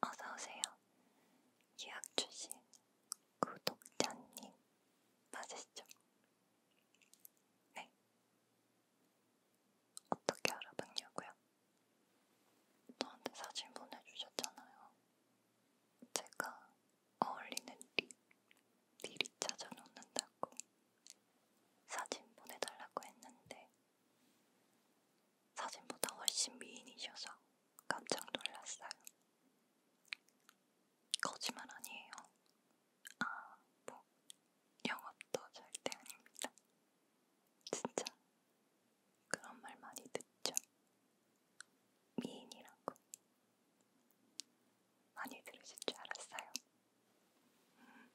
어서오세요. 유학 출신 구독자님 맞으시죠? 네. 어떻게 알아봤냐고요? 저한테 사진 보내주셨잖아요. 제가 어울리는 립 미리 찾아놓는다고 사진 보내달라고 했는데 사진보다 훨씬 미인이셔서 깜짝 놀랐어요. 거짓말 아니에요. 아, 뭐, 영업도 절대 아닙니다. 진짜 그런 말 많이 듣죠? 미인이라고. 많이 들으실 줄 알았어요. 음.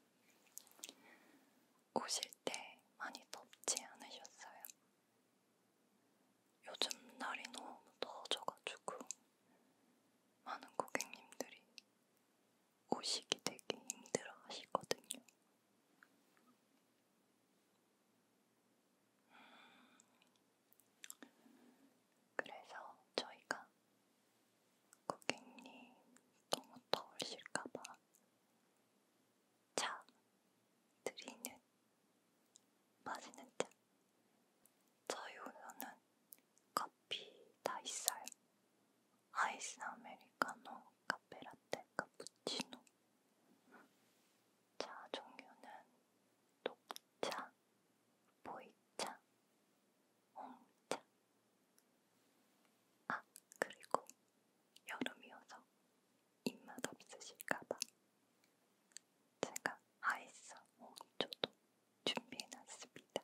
오실 때 많이 덥지 않으셨어요? 요즘 날이 너무 더워져가지고 많은 고객님들이 오시기 되게 힘들어 하시거든요. 음, 그래서 저희가 고객님 너무 더우실까봐 차 드리는 맛있는 차 저희 오늘은 커피 다 있어요 아이스 아메리카노, 카페라떼, 카푸치노 차 종류는 녹차, 보이차, 홍차 아 그리고 여름이어서 입맛 없으실까봐 제가 아이스 5초도 준비해놨습니다.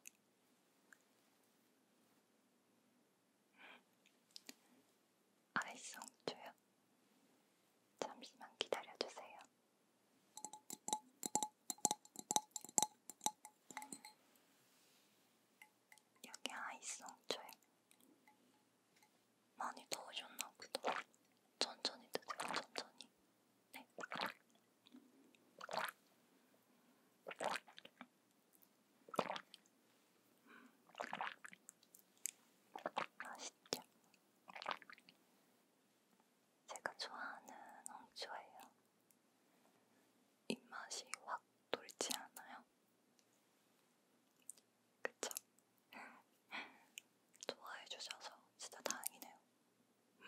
아이스 홍초요? 잠시만 기다려주세요. 여기 아이스 홍초에 많이 더우셨나 보다. 천천히 드세요, 천천히. 네. 음. 맛있죠? 제가 좋아하는 홍초예요. 입맛이 확 돌지 않아요? 그쵸? 좋아해주셔서 진짜 다행이네요. 음.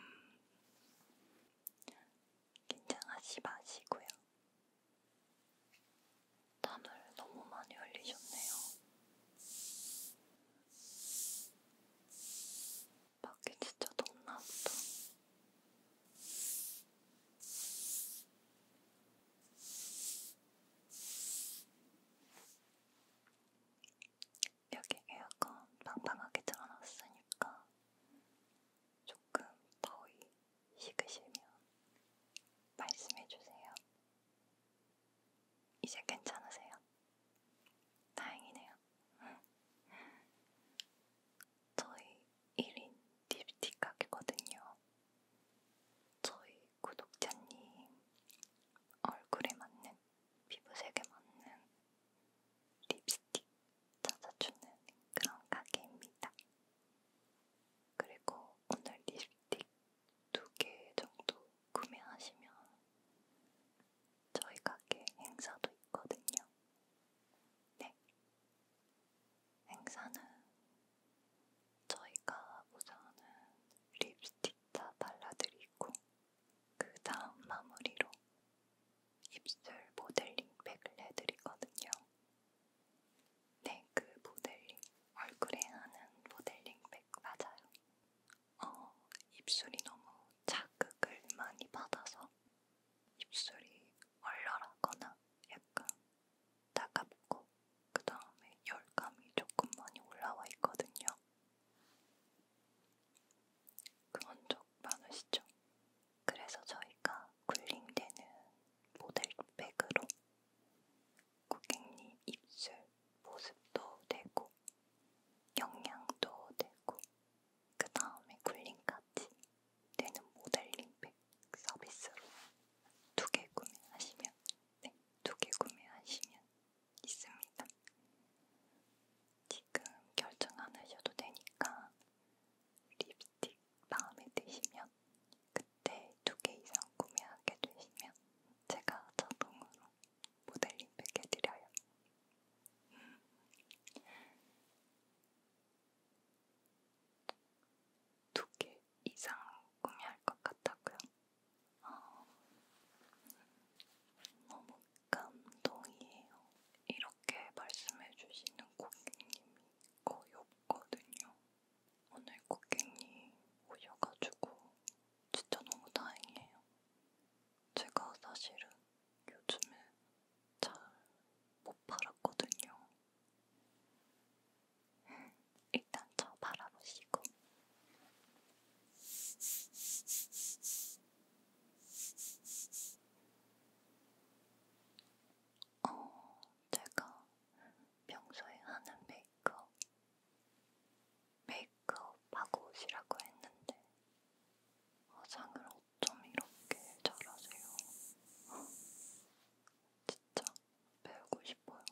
긴장하지 마시고요. 땀을 너무 많이 흘리셨네요. 밖에 진짜 덥나 보다. 여기 에어컨 빵빵하게 틀어놨으니까 조금 더위 식으시면 말씀해주세요. 이제 괜찮으세요? 다행이네요. 저희 1인 딥티 가게거든요. 저희 구독자님 얼굴에 맞는 피부색에 맞는 립스틱 찾아주는 그런 가게입니다. 그리고 오늘 립스틱 두 개 정도 구매하시면 저희 가게 행사도 있거든요. 네. 행사는 저희가 우선은 립스틱 다 발라드리고 그 다음 마무리로 입술 모델링 팩을 해드리거든요. 네, 그 모델링, 얼굴에 하는 모델링 팩 맞아요. 어, 입술이 너무 자극을 많이 받아서 입술이 얼얼하거나 약간 따갑고 그 다음에 열감이 조금 많이 올라와 있거든요. 그런 적 많으시죠? 그래서 저희가 굴링되는 모델백으로 고객님 입술 보습도 되고 영양도 되고 그 다음에 굴링까지 되는 모델링백 서비스로 두 개 구매하시면 네, 두 개 구매하시면 있습니다. 지금 결정 안 하셔도 되니까 립스틱 마음에 드시면 그때 두 개 이상 구매하게 되시면 제가 자동으로 모델링 팩해드려요. 두개 이상 구매할 것 같았고요. 어, 너무 감동이에요. 이렇게 말씀해주시는 고객님이 거의 없거든요. 오늘 고객님 오셔가지고 진짜 너무 다행이에요. 제가 사실은 요즘에 잘 못 팔았거든요. 일단 저 바라보시고 어, 제가 평소에 하는 메이크업 메이크업 하고 오시라고 했는데 화장을 어쩜 이렇게 잘하세요? 진짜 배우고 싶어요.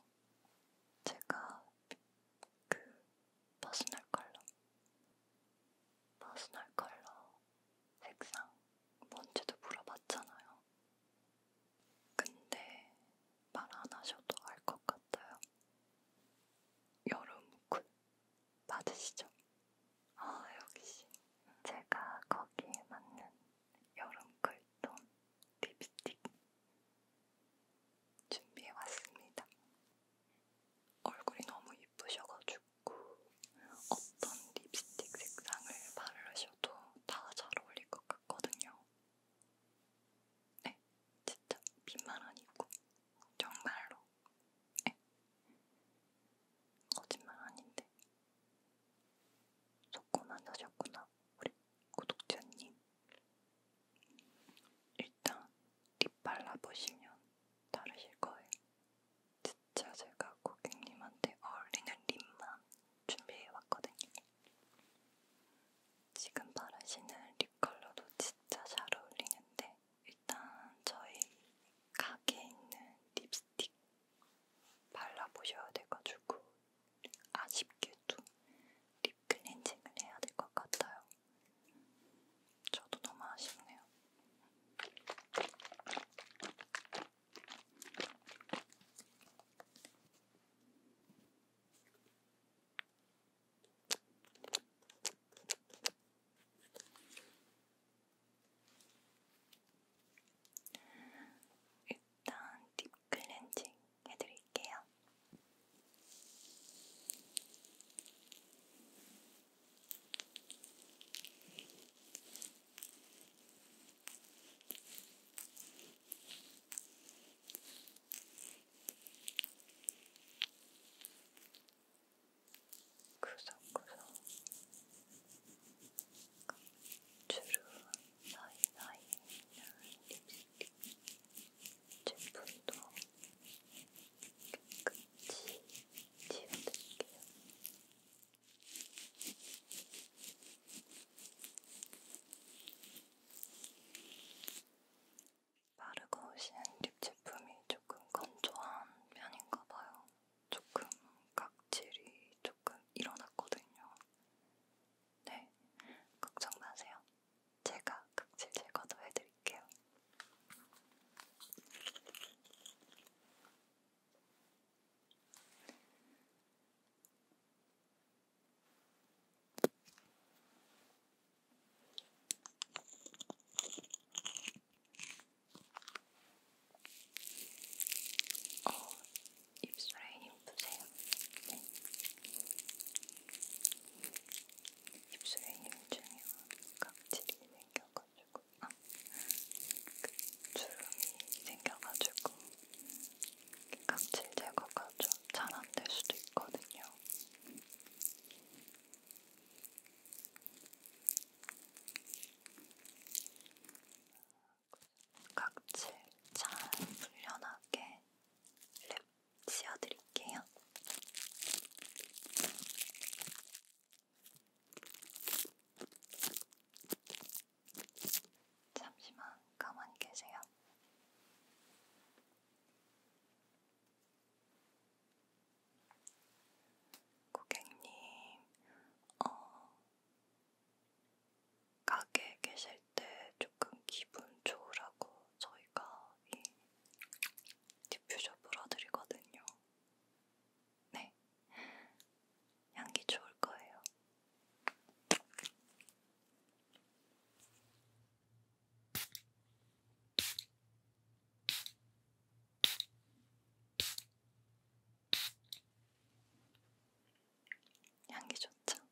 제가 그 퍼스널 컬러, 퍼스널 컬러 색상 뭔지도 물어봤잖아요. 근데 말 안 하셔도 알 것 같아요. 여름 쿨 맞으시죠? 아 역시 제가 거기에 맞는 여름 쿨 립톤 립스틱 준비해왔습니다. 얼굴이 너무 예쁘셔가지고 어떤 립스틱 색상을 바르셔도 다 잘 어울릴 것 같거든요. 네, 진짜 빛만 아니고 정말로 네. 거짓말 아닌데 속고 만나셨구나 우리 구독자님 일단 립 발라보시면 다르실 거예요. 진짜 제가 고객님한테 어울리는 립만 준비해왔거든요. 지금 바르시는 립 컬러도 진짜 잘 어울리는데 일단 저희 가게에 있는 립스틱 발라보셔야 돼가지고 아쉽게도 립 클렌징을 해야 될 것 같아요. 저도 너무 아쉽네요. 일단 딥 클렌징 해드릴게요. 구석구석 주름 사이사이에 있는 립스틱 제품도 끝이 지워드릴게요. 바르고 오신 립 제품이 조금 건조한 편인가 봐요. 조금 각질이 조금 일어났거든요. 네, 걱정 마세요. 제가 극질 제거도 해드릴게요. 어, 입술에 힘 푸세요. 네. 입술에 힘 주면 각질이 생겨가지고, 아, 그 주름이 생겨가지고 각질 제거가 좀잘안 될 수도 있거든요. 각질 잘 불려나게 랩 씌워드릴게요. 잠시만 가만히 계세요. 고객님, 어, 가게에 계실 때 조금 기분 좋으라고 저희가 이 디퓨저 불어드리거든요. 네. 향기 좋을 거예요. 향기 좋죠?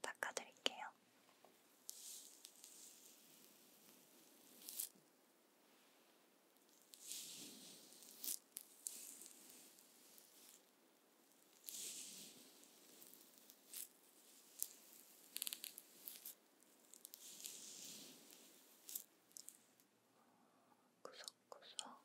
닦아드릴게요. 구석구석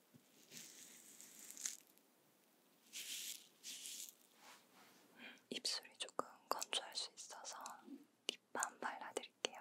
입술이 조금 건조할 수 있어서 립밤 발라드릴게요.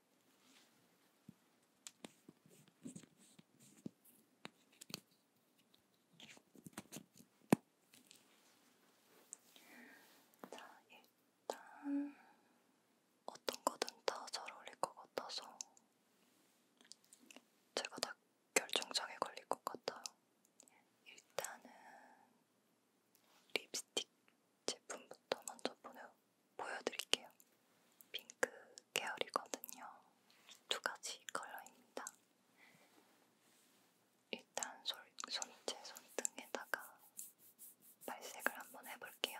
자, 일단 어떤 거든 다 잘 어울릴 것 같아서 제가 다 결정장애 걸릴 것 같아요. 일단은 립스틱 제품부터 먼저 보여, 보여드릴게요. 핑크 계열이거든요. 두 가지 컬러입니다. 일단 손, 손제 손등에다가 발색을 한번 해볼게요.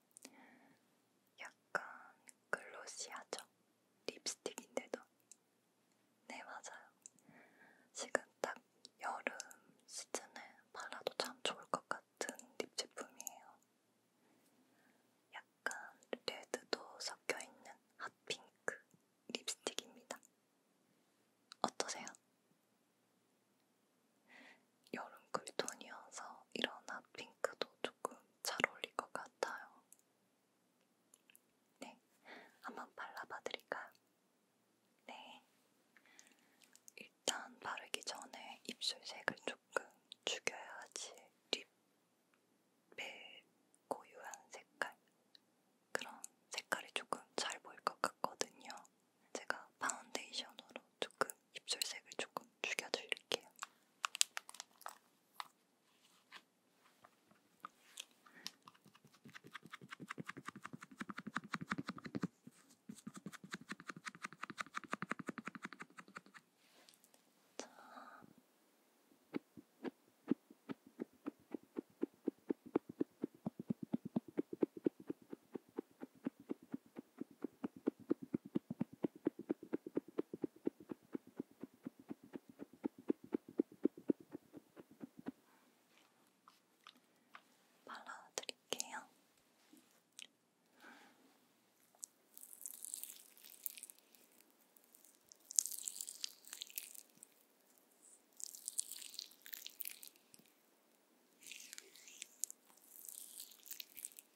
약간 글로시하죠? 립스틱인데도. 네, 맞아요. 지금 딱 여름 시즌에 발라도 참 좋을 것 같은 립 제품이에요. 약간 레드도 섞여있는 핫핑크 립스틱입니다. 어떠세요? 여름 쿨톤이어서 이런 핫핑크도 조금 잘 어울릴 것 같아요. 네, 한번 발라봐 드릴까요? 네. 일단 바르기 전에 입술색을 조금 죽여야지 립의 고유한 색깔 그런 색깔이 조금 잘 보일 것 같거든요. 제가 파운데이션으로 조금 입술색을 조금 죽여드릴게요. 자. 발라드릴게요.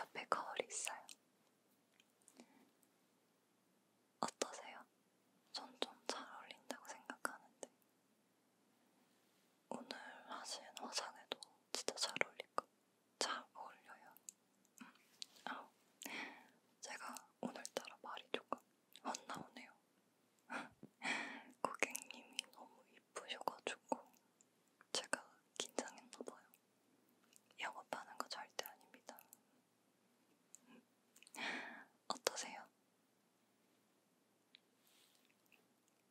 옆에 거울이 있어요. 어떠세요? 전좀잘 어울린다고 생각하는데 오늘 하신 화장에도 진짜 잘 어울릴 거. 잘 어울려요. 음. 아, 제가 오늘따라 말이 조금 헛나오네요. 고객님이 너무 이쁘셔가지고 제가 긴장했나봐요. 영업하는 거 절대 아닙니다. 음. 어떠세요?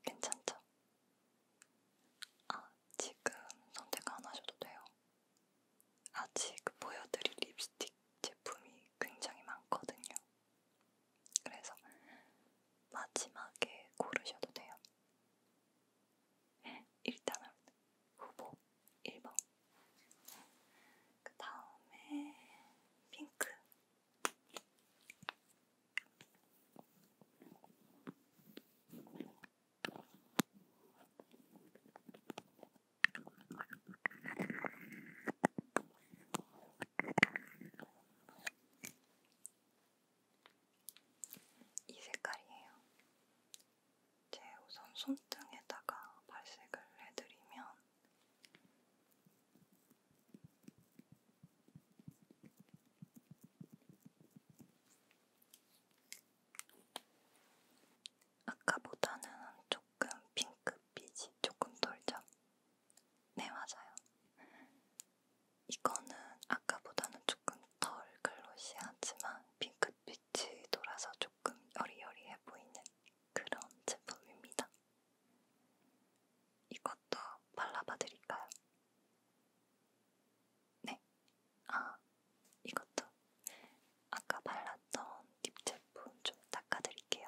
괜찮죠? 아, 지금 선택 안 하셔도 돼요. 아직 보여드릴 립스틱 제품이 굉장히 많거든요. 그래서 마지막에 고르셔도 돼요. 일단은 후보 1번. 그 다음에 핑크. 이 색깔이에요. 제 우선 손등에다가 발색을 해드리면 아까보다는 조금 핑크빛이 조금 돌죠? 네, 맞아요. 이거는 아까보다는 조금 덜 글로시하지만 핑크빛이 돌아서 조금 여리여리해 보이는 그런 제품입니다. 이것도 발라봐 드릴까요? 네. 아, 이것도 아까 발랐던 립 제품 좀 닦아드릴게요.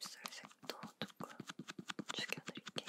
입술색도 조금 죽여드릴게요.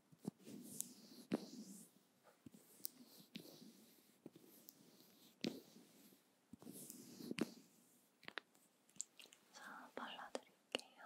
자, 발라드릴게요. 자,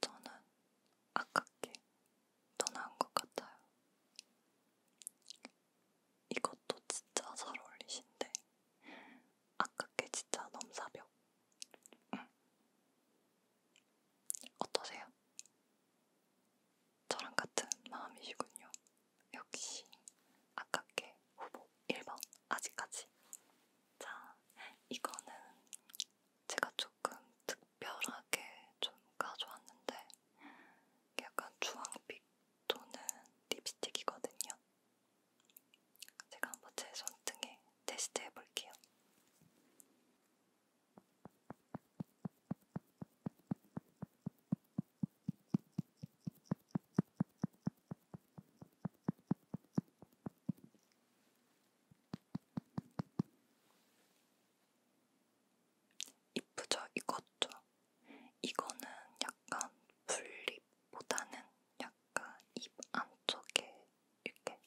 저는 아깝게 떠난 것 같아요. 이것도 진짜 잘 어울리신데 아깝게 진짜 넘사벽. 응. 어떠세요? 있어요. 저랑 같은 마음이시군요. 역시 아깝게 후보 1번 아직까지. 자, 이거는 제가 조금 특별하게 좀 가져왔는데 약간 주황빛 도는 립스틱이거든요. 제가 한번 제 손등에 테스트 해볼게요. 이쁘죠? 이것죠? 이거는 약간 분립보다는 약간 입 안쪽에 이렇게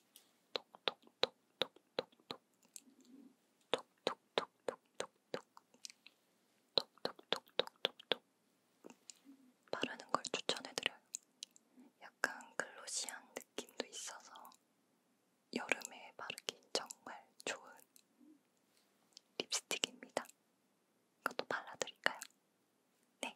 톡톡톡톡톡 톡톡톡톡톡톡톡톡톡톡톡톡톡톡톡 바르는 걸 추천해드려요. 약간 글로시한 느낌도 있어서 여름에 바르기 정말 좋은 립스틱입니다. 이것도 발라드릴까요? 네.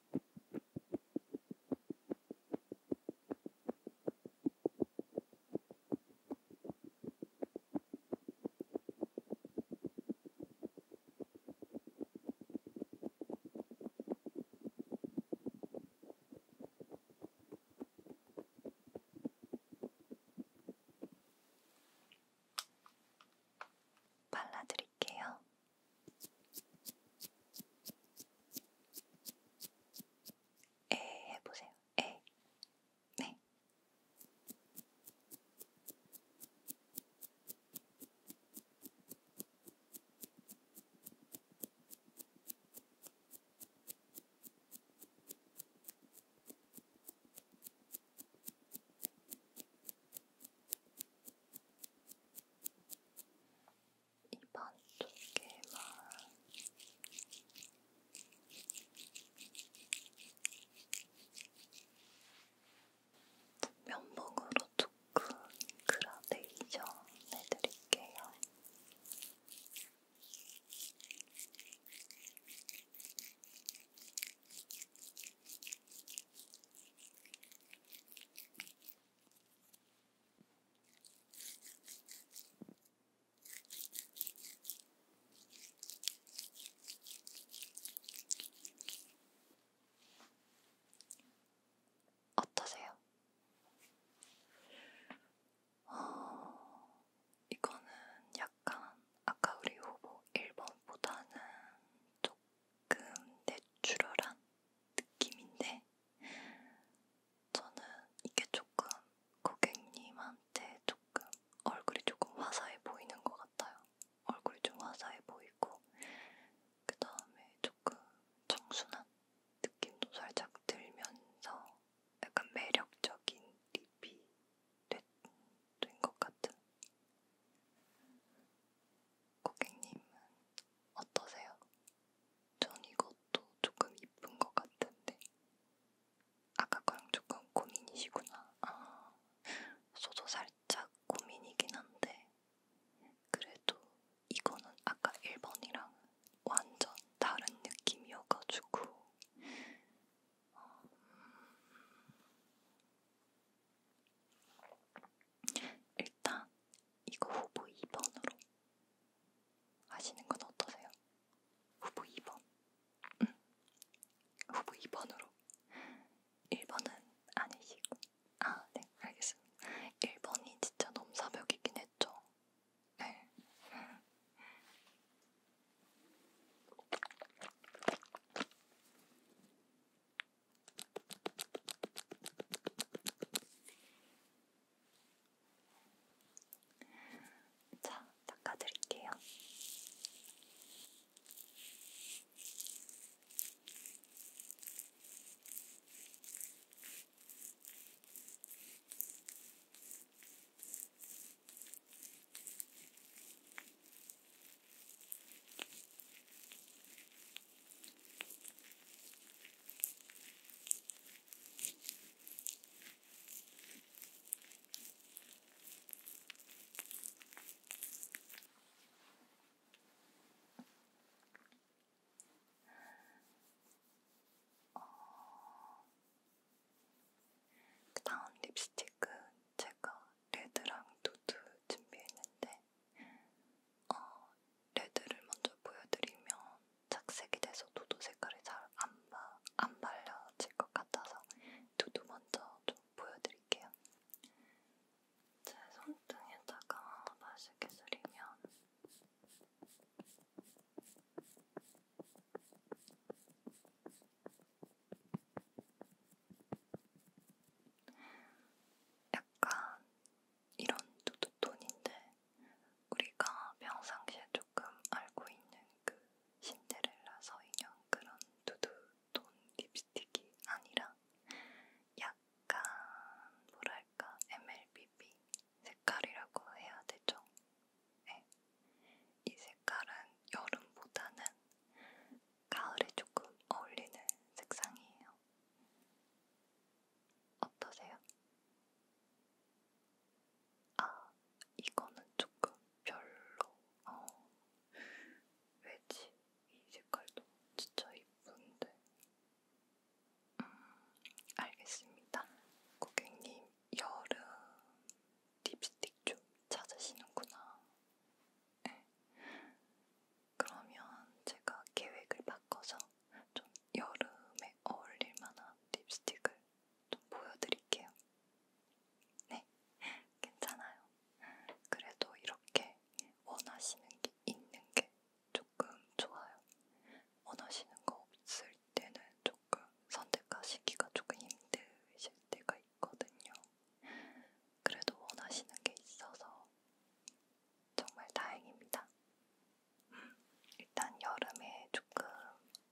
발라드릴게요. 에 해보세요. 에. 네. 입안 두께만 면봉으로 조금 그라데이션 해드릴게요. 어떠세요? 어, 이거는 약간 아까 우리 후보 1번보다는 조금 내추럴한 느낌인데 저는 이게 조금 고객님한테 조금 얼굴이 조금 화사해 보이는 것 같아요. 얼굴이 좀 화사해 보이고 그 다음에 조금 청순한 느낌도 살짝 들면서 약간 매력적인 립이 된 것 같은 고객님은 어떠세요? 전 이것도 조금 이쁜 것 같은데 아까 거랑 조금 고민이시구나 아, 저도 살짝 고민이긴 한데 그래도 이거는 아까 1번이랑 완전 다른 느낌이어가지고 어, 음. 일단 이거 후보 2번으로 아시는 건 어떠세요? 후보 2번. 음. 후보 2번으로. 1번은 아니시고. 아, 네, 알겠습니다. 1번이 진짜 넘사벽이긴 했죠. 네. 자, 닦아드릴게요. 그 다음 립스틱은 제가 레드랑 누드 준비했는데 어, 레드를 먼저 보여드리면 착색이 돼서 도도 색깔이 잘안 안 발려질 것 같아서 도도 먼저 좀 보여드릴게요. 제 손등에다가 다시 기술이면 약간 이런 두두톤인데 우리가 평상시에 조금 알고 있는 그 신데렐라서 인형 그런 두두톤 립스틱이 아니라 약간 뭐랄까 MLBB 색깔이라고 해야 되죠? 네. 이 색깔은 여름보다는 가을에 조금 어울리는 색상이에요. 어떠세요? 아, 이거는 조금 별로. 어, 왜지? 이 색깔도 진짜 이쁜데. 음, 알겠습니다. 고객님, 여름 립스틱 좀 찾으시는구나. 네. 그러면 제가 계획을 바꿔서 좀 여름에 어울릴 만한 립스틱을 좀 보여드릴게요. 네, 괜찮아요. 그래도 이렇게 원하시는 게 있는 게 조금 좋아요. 원하시는 거 없을 때는 조금 선택하시기가 조금 힘드실 때가 있거든요. 그래도 원하시는 게 있어서 정말 다행입니다. 음, 일단 여름에 조금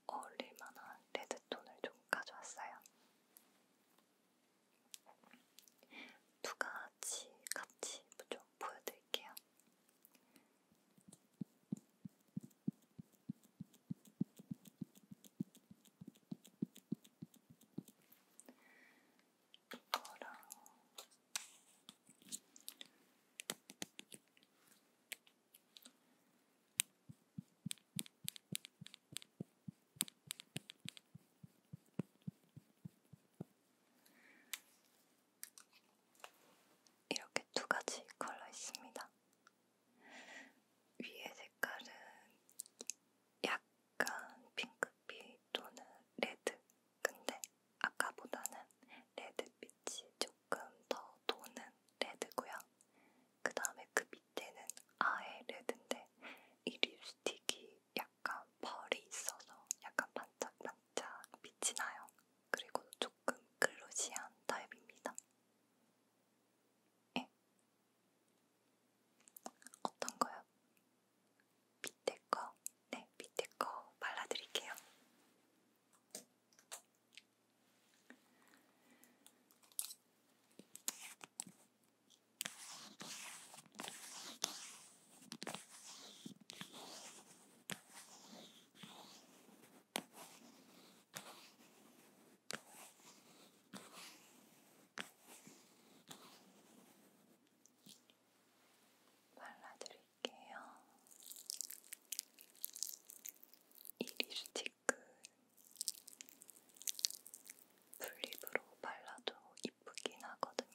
어울릴만한 레드톤을 좀 가져왔어요. 두 가지 같이 좀 보여드릴게요. 이거랑 이렇게 두 가지 컬러 있습니다. 위에 색깔은 약간 핑크빛 또는 레드 근데 아까보다는 레드빛이 조금 더 도는 레드고요. 그 다음에 그 밑에는 아예 레드인데 이 립스틱이 약간 벌이 있어서 약간 반짝반짝 빛이 나요. 그리고 조금 글로시한 타입입니다. 예. 어떤 거요? 밑에 거 네, 밑에 거 발라드릴게요. 발라드릴게요. 드릴게요. 이 립스틱은 풀립으로 발라도 이쁘긴 하거든요.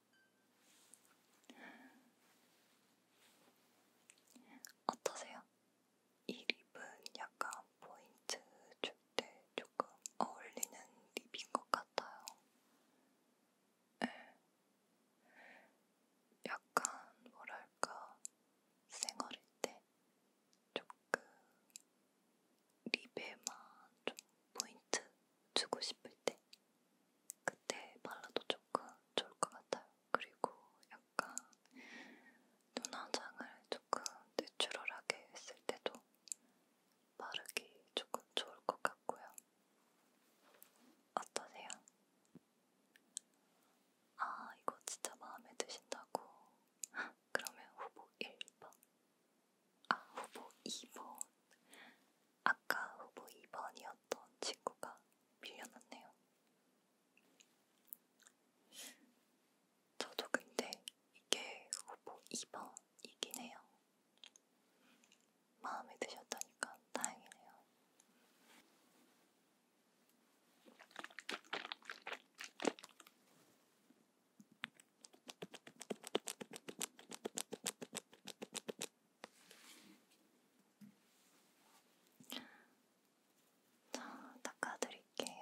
어떠세요? 이 립은 약간 포인트 줄 때 조금 어울리는 립인 것 같아요. 네. 약간 뭐랄까 쌩얼일 때 조금 립에만 좀 포인트 주고 싶을 때 그때 발라도 조금 좋을 것 같아요. 그리고 약간 눈화장을 조금 내추럴하게 했을 때도 바르기 조금 좋을 것 같고요. 어떠세요? 아, 이거 진짜 마음에 드신다고? 그러면 후보 1번 아, 후보 2번. 아까 후보 2번이었던 친구가 밀려났네요. 저도 근데 이게 후보 2번이긴 해요. 마음에 드셨다니까 다행이네요. 자, 닦아드릴게요.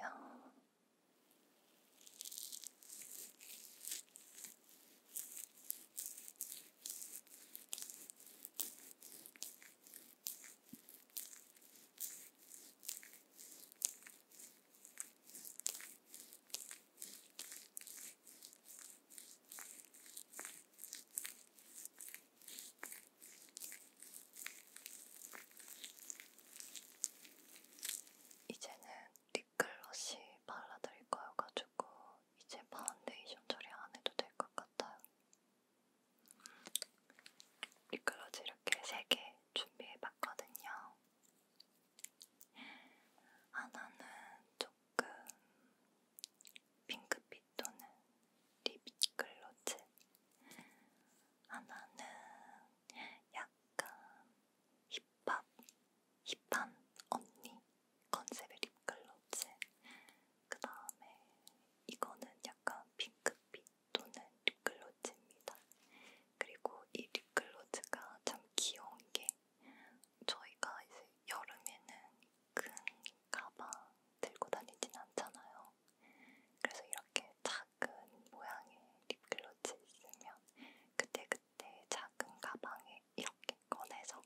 이제는 립글러시 발라드릴 거여가지고 이제 파운데이션 처리 안 해도 될 것 같아요. 립글러즈 이렇게 3개 준비해봤거든요. 하나는 아, 조금 핑크빛 또는 립글로즈 하나는 아, 약간 힙합, 힙한 언니 컨셉의 립글로즈 그 다음에 이거는 약간 핑크빛 또는 립글로즈입니다. 그리고 이 립글로즈가 참 귀여운 게 저희가 이제 여름에는 큰 가방 들고 다니진 않잖아요. 그래서 이렇게 작은 모양의 립글로즈 있으면 그때그때 작은 가방에 이렇게 꺼내서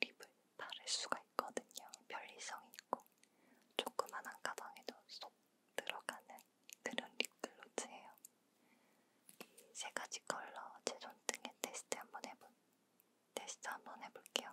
립을 바를 수가 있거든요. 편리성이 있고 조그만한 가방에도 쏙 들어가는 그런 립글로즈예요. 세 가지 컬러 제 손등에 테스트 한번 해볼 테스트 한번 해볼게요.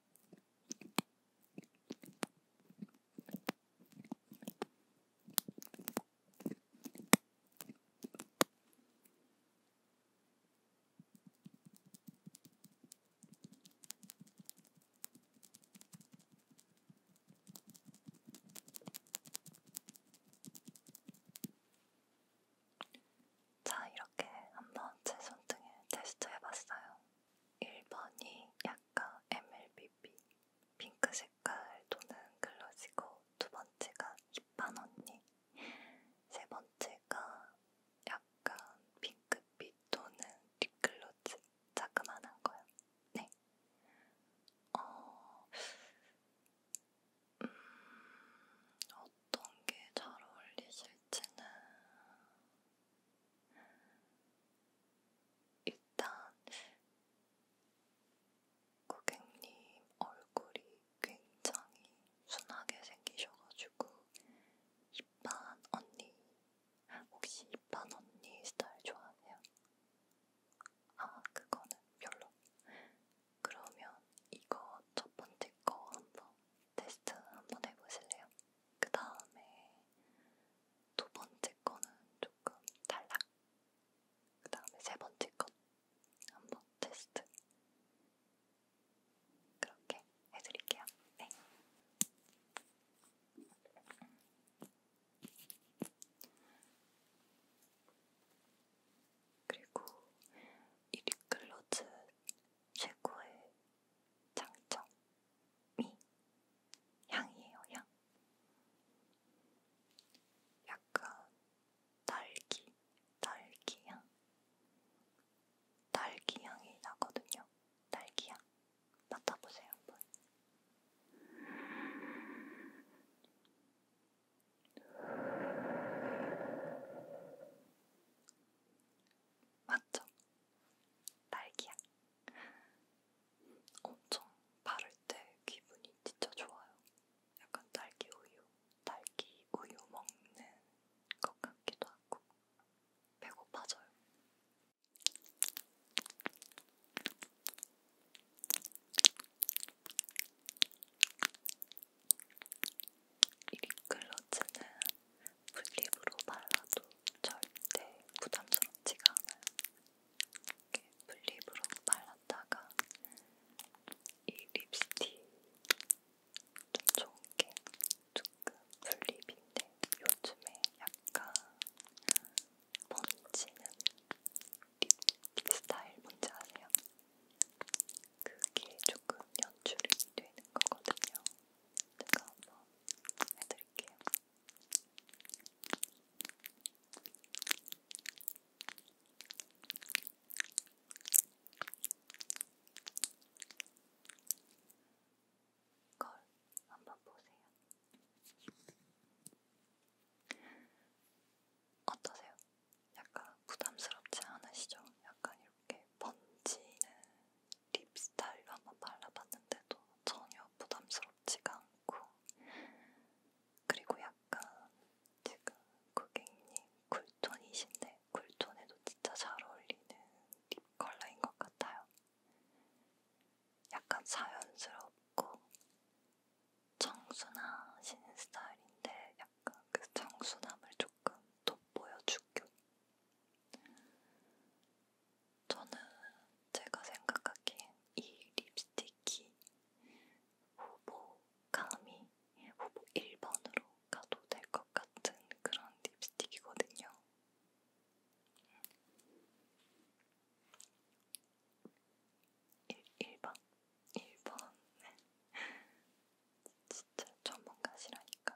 자, 이렇게 한번 제 손등에 테스트 해봤어요. 1번이 약간 MLBB 핑크 색깔 도는 글러지고 두 번째가 힙한 언니 세 번째가 약간 핑크빛 도는 립글러지 자그만한 거요. 네. 어... 음... 어떤 게 잘 어울리실지는 일단 고객님 얼굴이 굉장히 순하게 생기셔가지고 이반 언니 혹시 이반 언니 스타일 좋아하세요? 아 그거는 별로. 그러면 이거 첫 번째 거 한번 테스트 한번 해보실래요? 그 다음에 두 번째 거는 조금 달라. 그 다음에 세 번째 거 한 번 테스트. 그렇게 해드릴게요. 네. 그리고 이 립글로즈 최고의 장점이 향이에요, 향. 약간 딸기, 딸기향. 딸기향이 나거든요. 딸기향. 맡아보세요, 한번. 맞죠? 딸기향. 엄청 바를 때 기분이 진짜 좋아요. 약간 딸기 우유, 딸기 우유 먹는 것 같기도 하고 배고파져요. 이 립글러즈는 풀립으로 그 발라도 절대 부담스럽지가 않아요. 이렇게 풀립으로 발랐다가 이 립스틱 좀 좋은 게 조금 풀립인데 요즘에 약간 번지는 립, 립 스타일 뭔지 아세요? 그게 조금 연출이 되는 거거든요. 제가 한번 해드릴게요. 걸 한번 보세요. 어떠세요? 약간 부담스럽지 않으시죠? 약간 이렇게 번지는 립스타일로 한번 발라봤는데도 전혀 부담스럽지가 않고 그리고 약간 지금 고객님 쿨톤이신데 쿨톤에도 진짜 잘 어울리는 립 컬러인 것 같아요. 약간 자연스럽고 청순하신 스타일인데 약간 그 청순함을 조금 돋보여주고 저는 제가 생각하기엔 이 립스틱이 후보 감히 후보 1번으로 가도 될 것 같은 그런 립스틱이거든요. 일, 1번? 1번? 진짜 전문가시라니까.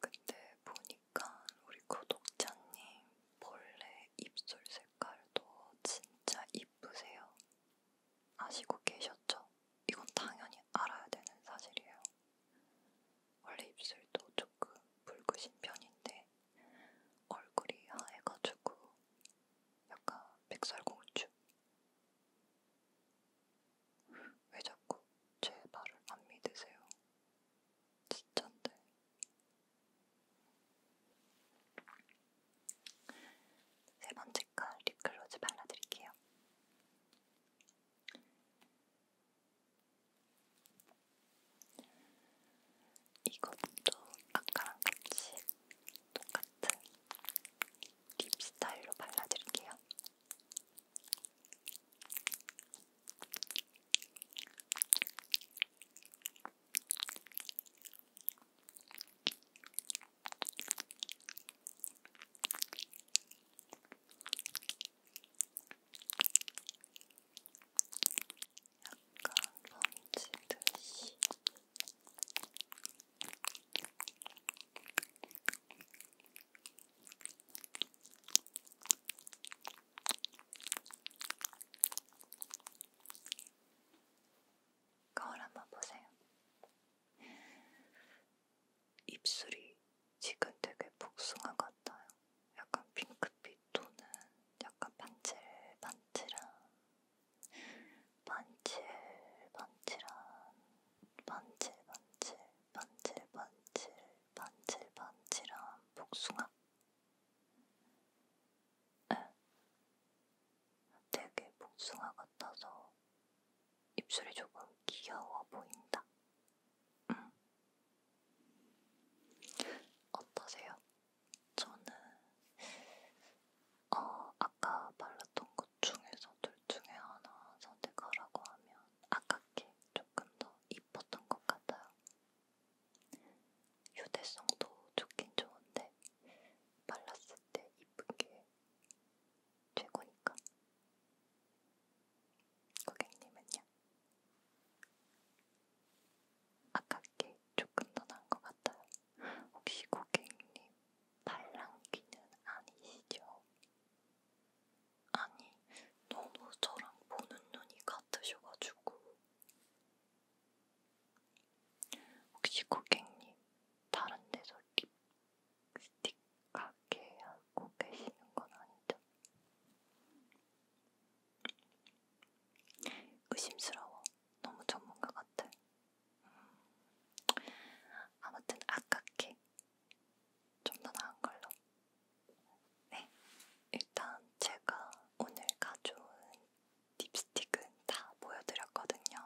그때 보니까 우리 구독자님 벌레 입술 색깔도 진짜 이쁘세요. 아시고 계셨죠? 이건 당연히 알아야 되는 사실이에요. 원래 입술도 조금 붉으신 편인데 얼굴이 하얘가지고 약간 백설공주. 왜 자꾸 제 말을 안 믿으세요? 진짠데. 세 번째 건 립글로즈 발라드릴게요. 이것도 아까랑 같이 똑같은 립 스타일로 발라드릴게요. 약간 번지듯이 거울 한번 보세요. 입술이 지금 되게 복숭아 같아요. 약간 핑크빛 또는 약간 반질반질한 번질번질한 번질번질 번질번질 번질번질한 복숭아 에? 되게 복숭아 같아서 입술이 조금 귀여워 보인다. 음. 어떠세요? 저는 어, 아까 발랐던 것 중에서 둘 중에 하나 선택하라고 하면 아깝게 조금 더 이뻤던 것 같아요. 휴대성도 좋긴 좋은데 발랐을 때 이쁜 게 최고니까. 고객님은요? 아깝게 조금 더 나은 것 같아요. 미국행님 반란기는 아니시죠? 아니, 너무 저랑 보는 눈이 같으셔가지고. 혹시 고객님, 다른 데서 립스틱 가게 하고 계시는 건 아니죠? 의심스러워. 너무 전문가 같아. 아무튼 아깝게 좀 더 나은 걸로. 네, 일단 제가 오늘 가져온 립스틱은 다 보여드렸거든요.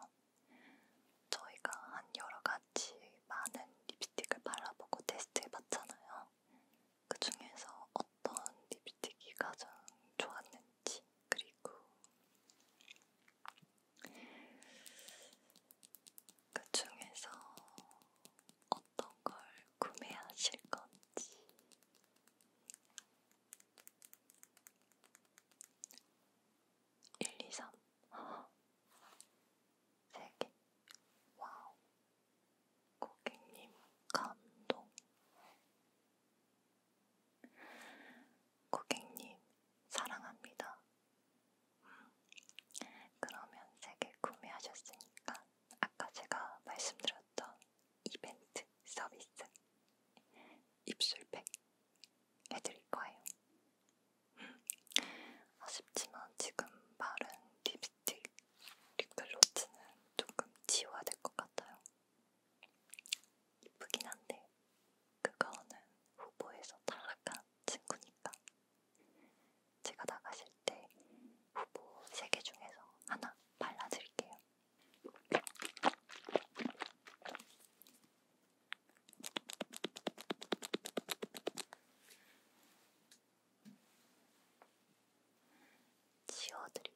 저희가 한 여러 가지 많은 립스틱을 발라보고 테스트해봤잖아요. 그 중에서 어떤 립스틱이 가장 좋았는지 그리고 그 중에서 어떤 걸 구매하실 건지 일, 이, 삼, 세 개. 와우, 고객님 감동. 고객님, 사랑합니다. 그러면 세개 구매하셨으니까 아까 제가 말씀드렸던 이벤트 서비스 입술팩 해드릴 거예요. 아쉽지만 지금 바른 립스틱, 립글로즈는 조금 지워야 될 것 같아요. 이쁘긴 한데 그거는 후보에서 탈락한 친구니까 제가 나가실 때 후보 3개 중에서 하나 발라드릴게요. 지워드릴게요.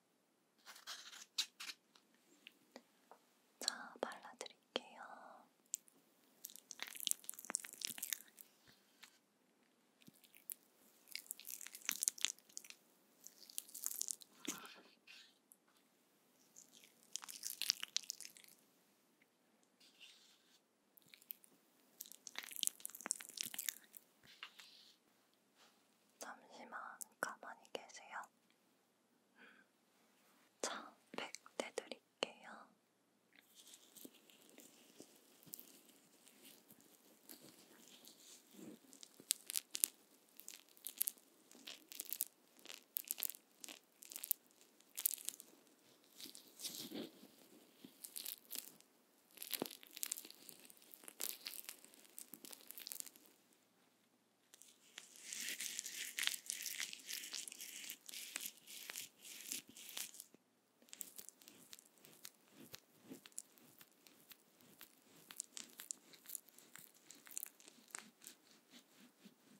자, 발라드릴게요. 잠시만 가만히 계세요. 자, 백대 드릴게요.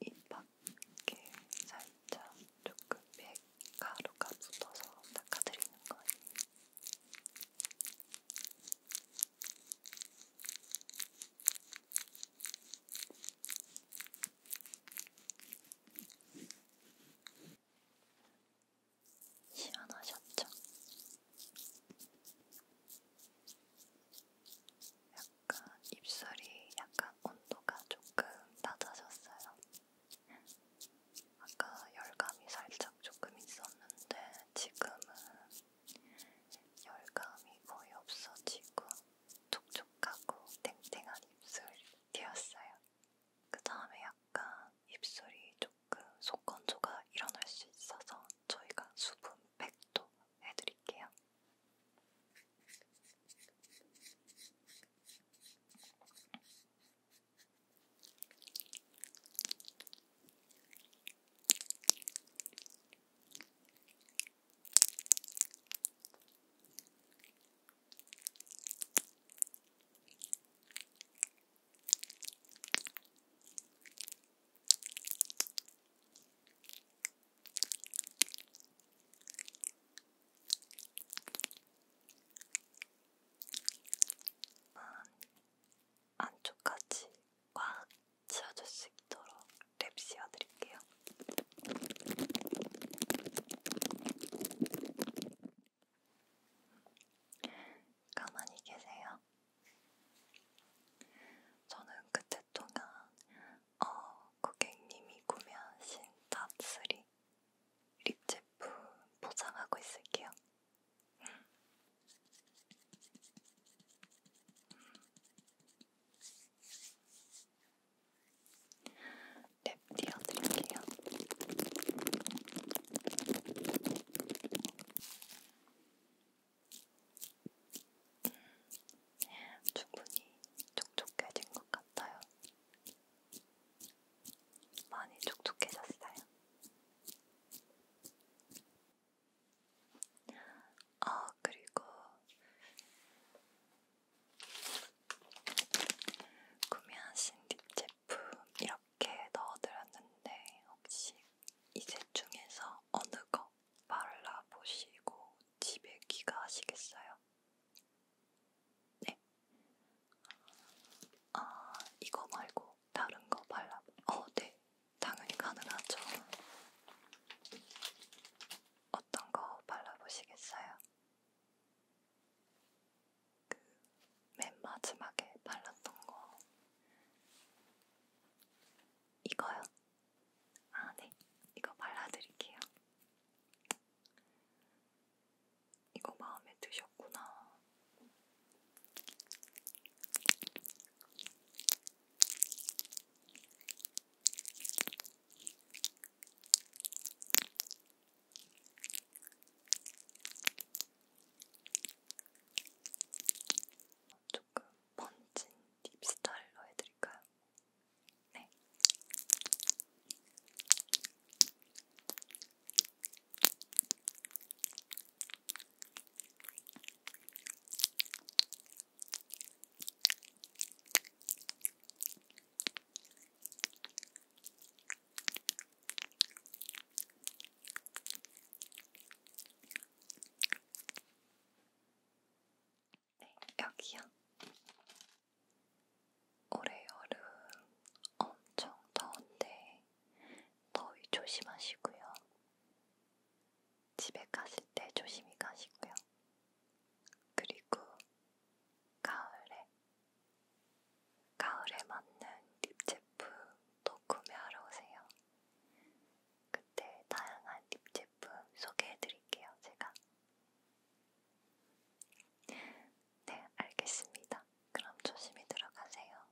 입 밖에 살짝 조금 백 가루가 붙어서 닦아드리는 거예요. 시원하셨죠? 약간 입술이 약간 온도가 조금 낮아졌어요. 아까 열감이 살짝 조금 있었는데 지금은 열감이 거의 없어지고 촉촉하고 탱탱한 입술이었어요. 그 다음에 약간 입술이 조금 속건조가 일어날 수 있어서 저희가 수분팩도 해드릴게요. 안쪽까지 꽉 씌워줄 수 있도록 랩 씌워드릴게요. 가만히 계세요. 저는 그때 동안 어, 고객님이 구매하신 탑3 립 제품 포장하고 있을게요. 랩 띄워드릴게요. 충분히 촉촉해진 것 같아요. 많이 촉촉해졌어요. 아, 그리고 구매하신 립 제품 이렇게 넣어드렸는데 혹시 이제 중에서 어느 거 발라보시고 집에 귀가하시겠어요? 네. 아, 이거 말고 다른 거 발라. 어, 네. 당연히 가능하죠. 어떤 거 발라보시겠어요? 그 맨 마지막에 발랐던 거 이거요? 아, 네. 이거 발라드릴게요. 이거 마음에 드셨구나. 조금 번진 딥 스타일로 해드릴까요? 네. 네, 여기요. 올해 여름 엄청 더운데 더위 조심하시고요. 집에 가실 때 조심히 가시고요. 그리고 가을에 가을에 맞는 립 제품도 구매하러 오세요. 그때 다양한 립 제품 소개해드릴게요, 제가. 네, 알겠습니다. 그럼 조심히 들어가세요.